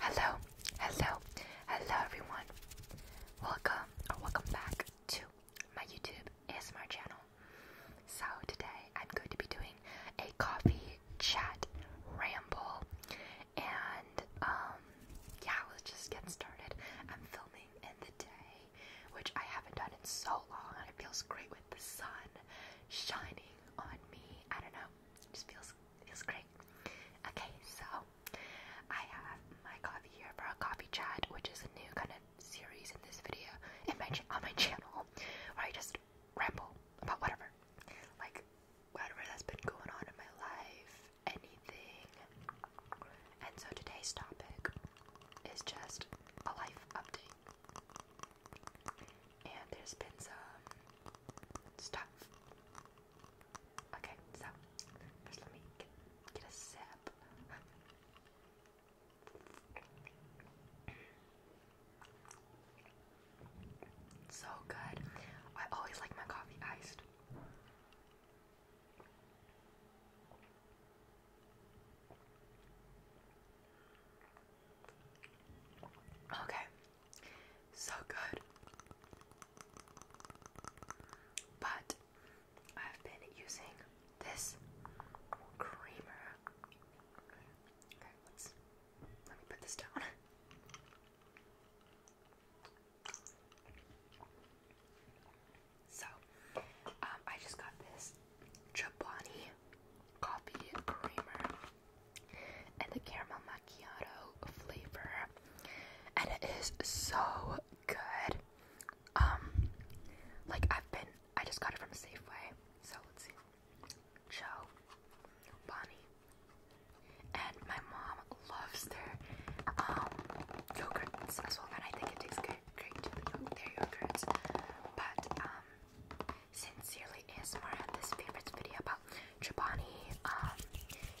Hello, hello, hello everyone. Welcome welcome back to my YouTube ASMR channel. So today I'm going to be doing a coffee chat ramble and um yeah, let's just get started. I'm filming in the day, which I haven't done in so long and it feels great with the sun shining on me. I don't know. It just feels it's great. Okay, so I have my coffee here for a coffee chat, which is a new kind of series in this video, in my on my channel, where I just ramble about whatever, like whatever that's been going on in my life, anything. And so today's topic is just a life update and there's been some stuff. Okay, so let me get a sip. so good. I always like my coffee iced. Okay, so good. But I've been using this creamer. Okay, let me put this down. So, um, I just got this Chobani coffee creamer and the caramel macchiato flavor, and it is so good. Um, like I've been, I just got it from Safeway, so let's see. Joe, Bonnie, and my mom loves their um yogurts as well, and I think it tastes good, great their yogurts. But um, Sincerely ASMR had this favorites video about Chobani. Um,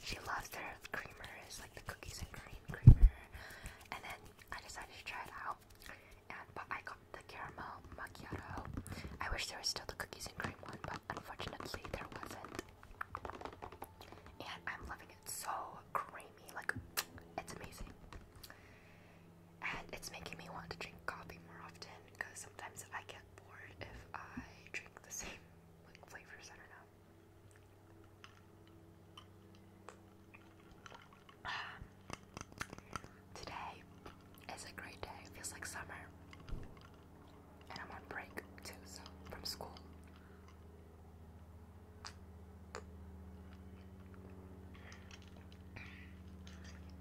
she loves their creamers, like the cookies and cream creamer. And then I decided to try it out. And I got the caramel macchiato. I wish there was still the cookies and cream one, but unfortunately there wasn't. And I'm loving it so creamy, like it's amazing. And it's making me want to drink coffee more often because sometimes I get if I drink the same like flavors. I don't know. today is a great day. feels like summer, and I'm on break too, so from school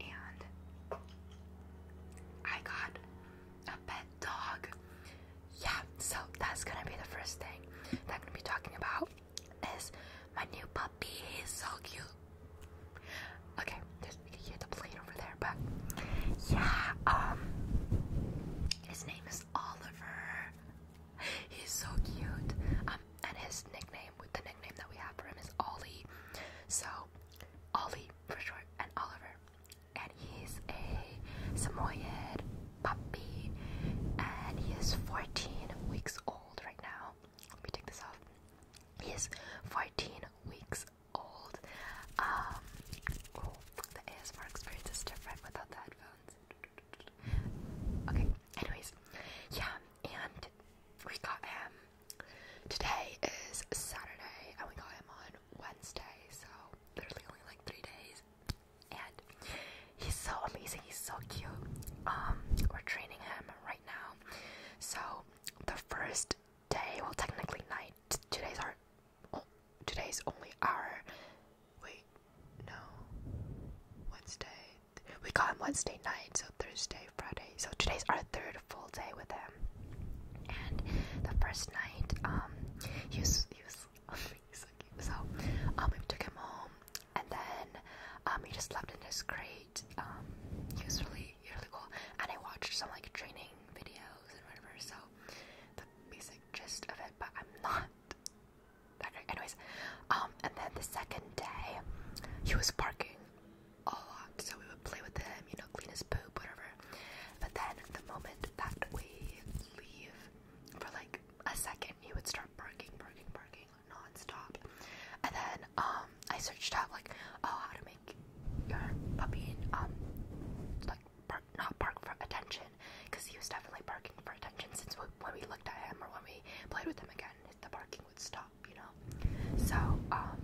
and I got a pet dog. Yeah, so that's gonna be the first thing that I'm gonna be talking about is my new puppy. He's so cute. Okay, there's you can hear the plane over there, but yeah, um his name is Oliver. He's so cute. Um and his nickname with the nickname that we have for him is Ollie. So Ollie for short, and Oliver. And he's a Samoyed puppy, and he is 14 weeks old right now. Let me take this off. He is 14 weeks old. Um, oh, the ASMR experience is different without the headphones. Okay, anyways, yeah, and we got him Today is Saturday, and we got him on Wednesday, so literally only like three days. And he's so amazing, he's so cute. Um, we're training him right now. So the first day, well, technically night. Today's our, today's only our. Wait, no, Wednesday. We got him Wednesday night, so Thursday, Friday. So today's our third full day with him. And the first night, um, he was he was so cute. So um, we took him home, and then um, he just slept in his crate. Um, he was really he was really cool, and I watched some like training videos and whatever. So the basic gist of it, but I'm not that great. Anyways, um, and then the second day, he was barking a lot, so we would play with him, you know, clean his poop, whatever. But then the moment that we leave for like a second, he would start barking, barking, barking nonstop. And then um I searched up like, oh, how to make your puppy um like not bark for attention, because he was definitely barking for attention since when we looked at him or when we played with him again, the barking would stop you know. So, um,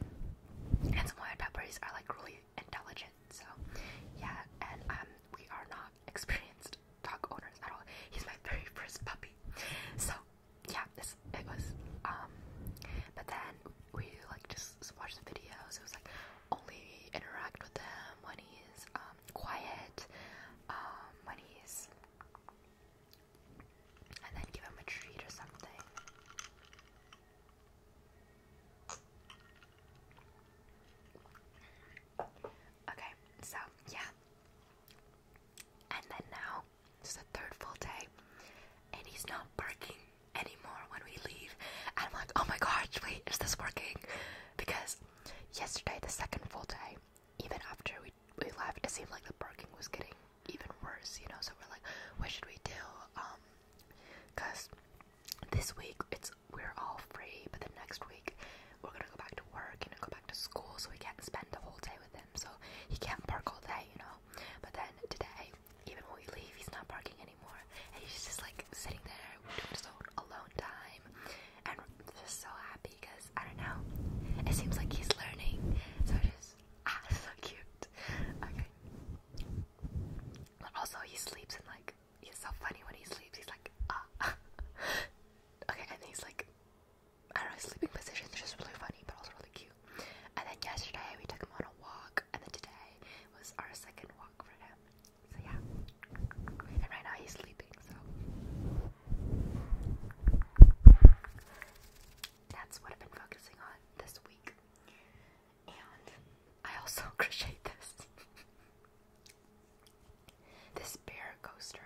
and some white peppers are like really intelligent. So, yeah, and um, we are not experienced dog owners at all. He's my very first puppy. So, yeah, this it was. Um, but then we like just watched the videos. It was like only interact with him when he's um, quiet, um, when he's and then give him a treat or something. Okay, so yeah. And then now, it's the third full day, and he's not barking anymore when we leave. And I'm like, oh my gosh, wait, is this working? Because yesterday, the second full day, even after we, we left, it seemed like the barking was getting even worse, you know. So we're like, what should we do? Um, cause this week it's we're all free, but the next week we're gonna go back to work, you know, go back to school, so we can't spend the whole day with him. So he can't park all day, you know. But then today, even when we leave, he's not parking anymore, and he's just like sitting there doing his own alone time, and just so happy because I don't know, it seems like he's learning. So just Ah, so cute. Okay. Also, he sleeps and like he's so funny when he sleeps. He's like ah. okay, and he's like I don't know. sleeping position is just really funny, but also really cute. And then yesterday we took him on a walk, and then today was our second walk for him. So yeah. And right now he's sleeping. So that's what I've been focusing on this week. And I also crocheted this. this bear coaster.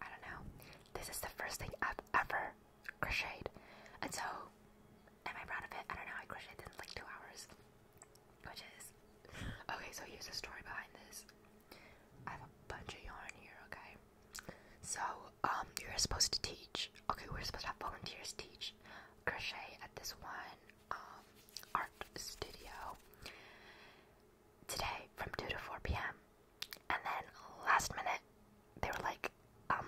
I don't know. This is the first thing I've ever crocheted. And so, am I proud of it? I don't know. I crocheted in like two hours. Which is. Okay, so here's the story behind this. I have a bunch of yarn here, okay? So, um, you're supposed to teach. Okay, we're supposed to have volunteers teach crochet at this one um, art studio today from 2 to 4 p.m. And then last minute, they were like, um,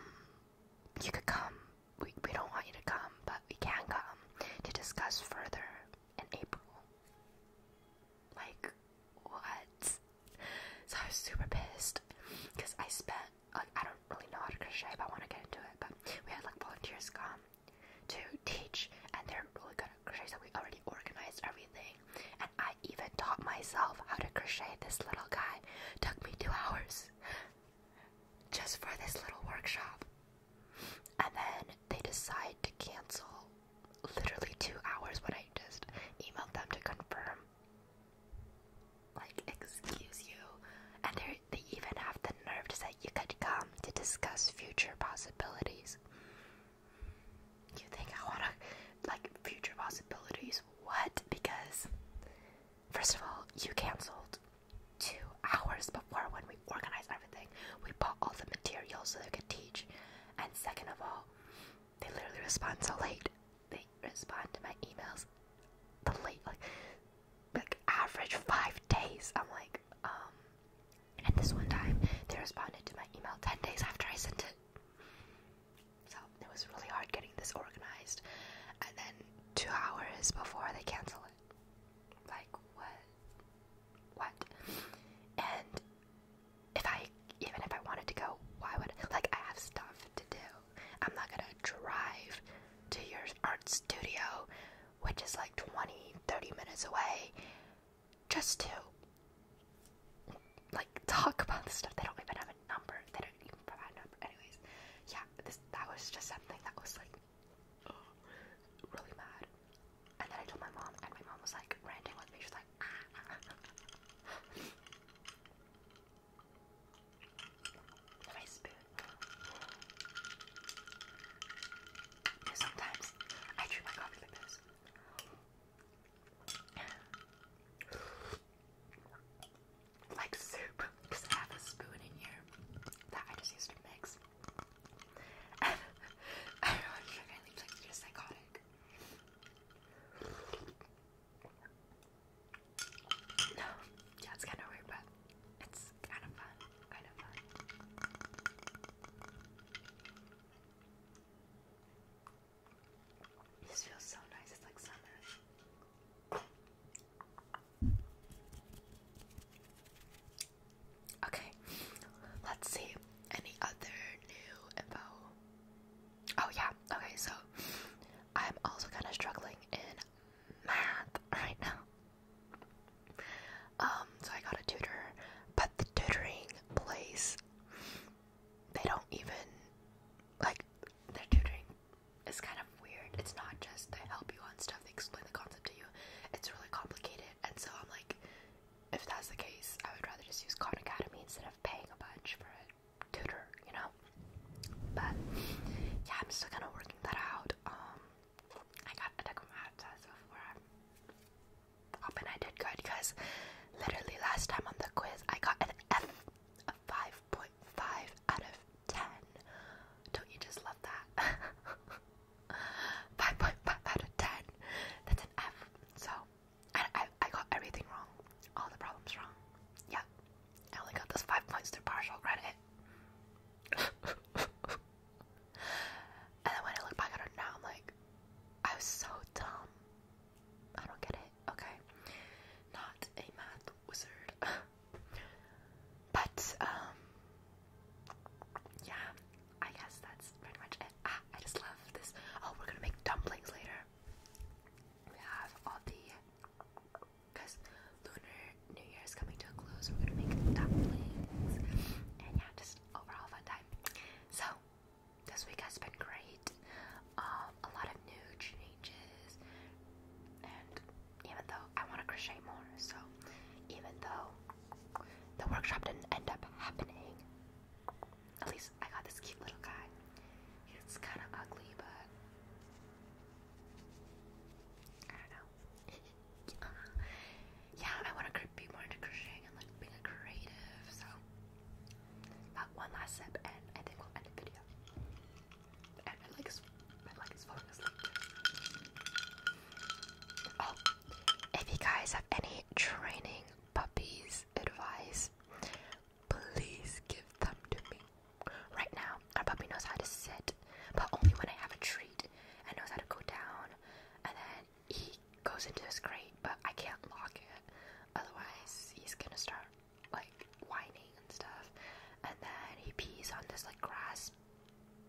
you could come. We, we don't want you to come, but we can come to discuss further in April. Like, what? So I was super pissed because I spent like I don't really know how to crochet, but I want to get into it. But we had like volunteers come to teach, and they're really good at crochet, so we already organized everything. And I even taught myself how to crochet. This little guy took me two hours just for this little workshop, and then they decide to cancel literally two hours when I just emailed them to confirm. Like, excuse you. And they even have the nerve to say you could come to discuss future possibilities. You think I wanna, like, future possibilities? What? Because, first of all, you canceled two hours before when we organized everything. We bought all the materials so they could teach. And second of all, they literally respond so late. They respond to my emails the late, like, like average five days. I'm like, um, and this one time they responded to my email 10 days after I sent it. So it was really hard getting this organized. And then two hours before they cancel it. Like, what? what? And if I even if I wanted to go, why would like I have stuff to do? I'm not gonna drive to your art studio, which is like 20, 30 minutes away, just to like talk about the stuff. They don't even have a number. They don't even provide number. Anyways, yeah, this that was just something that was like really mad. And then I told my mom, and my mom was like ranting with me. She's like, my ah, ah, ah, spoon. sometimes I drink my coffee like this. Like soup, because I have a spoon in here that I just used to mix. I don't know if you're psychotic. No, yeah, it's kind of weird, but it's kind of fun. Kind of fun. This feels so nice. It's like summer. Okay, let's see any other info. Oh, yeah, okay, so I'm also kind of struggling in math right now. Um, so I got a tutor, but the tutoring place, they don't even like their tutoring is kind of weird. It's not just they help you on stuff, they explain the concept to you, it's really complicated. And so I'm like, if that's the case, I would rather just use Khan Academy instead of paying a bunch for a tutor, you know? But yeah, I'm still kind of working that out. Um, I got a deck of maps and I did good because literally last time on the quiz, I got an F, a 5.5 out of 10. Don't you just love that? 5.5 out of 10. That's an F. So, I, I, got everything wrong. All the problems wrong. Yeah. I only got those 5 points through partial credit. and then when I look back at it now, I'm like, I was so dumb. I don't get it. Okay. Not a math wizard. but, um, yeah, I guess that's pretty much it. Ah, I just love this. Oh, we're gonna make dumplings later. We have all the because Lunar New Year is coming to a close. We're gonna make dumplings, and yeah, just overall fun time. So this week has been great. Um, a lot of new changes, and even though I want to crochet more, so even though the workshop didn't end up happening. At least I got this cute little guy. It's kind of ugly, but I don't know. yeah, I want to be more into crocheting and like being creative. So, one last sip, and I think we'll end the video. And my leg is, my is falling asleep. Oh, if you guys have any training puppies advice, please give them to me. Right now, our puppy knows how to sit, but only when I have a treat and knows how to go down, and then he goes into his crate, but I can't lock it. Otherwise, he's gonna start like whining and stuff, and then he pees on this like grass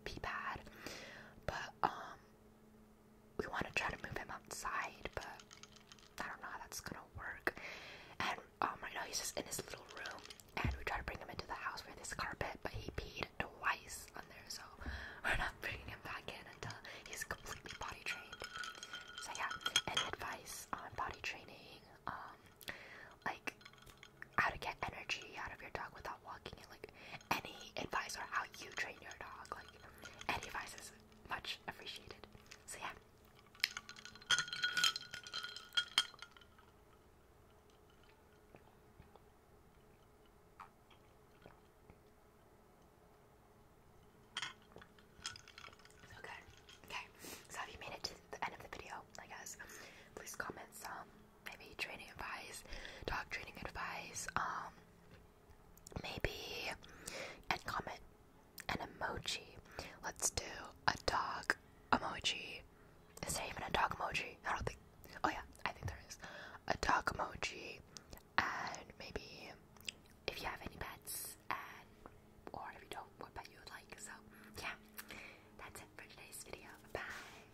pee pad. But um, we want to try to move him outside, but I don't know how that's gonna work. And um, right now he's just in his little room, and we try to bring him into the house with this carpet, but he peed twice on there, so we're not bringing him back in until he's completely potty trained. So yeah, any advice on potty training? Um, like how to get energy out of your dog without walking it. Like any advice on how you train your dog, like any advice is much appreciated. So yeah. So Okay, so have you made it to the end of the video? I guess. Please comment some maybe training advice, dog training advice, um, maybe, and comment an emoji. Let's do a dog emoji. Is there even a dog emoji? I don't think. Oh yeah, I think there is a dog emoji, and maybe if you have any pets, and or if you don't, what pet you would like. So yeah, that's it for today's video. Bye.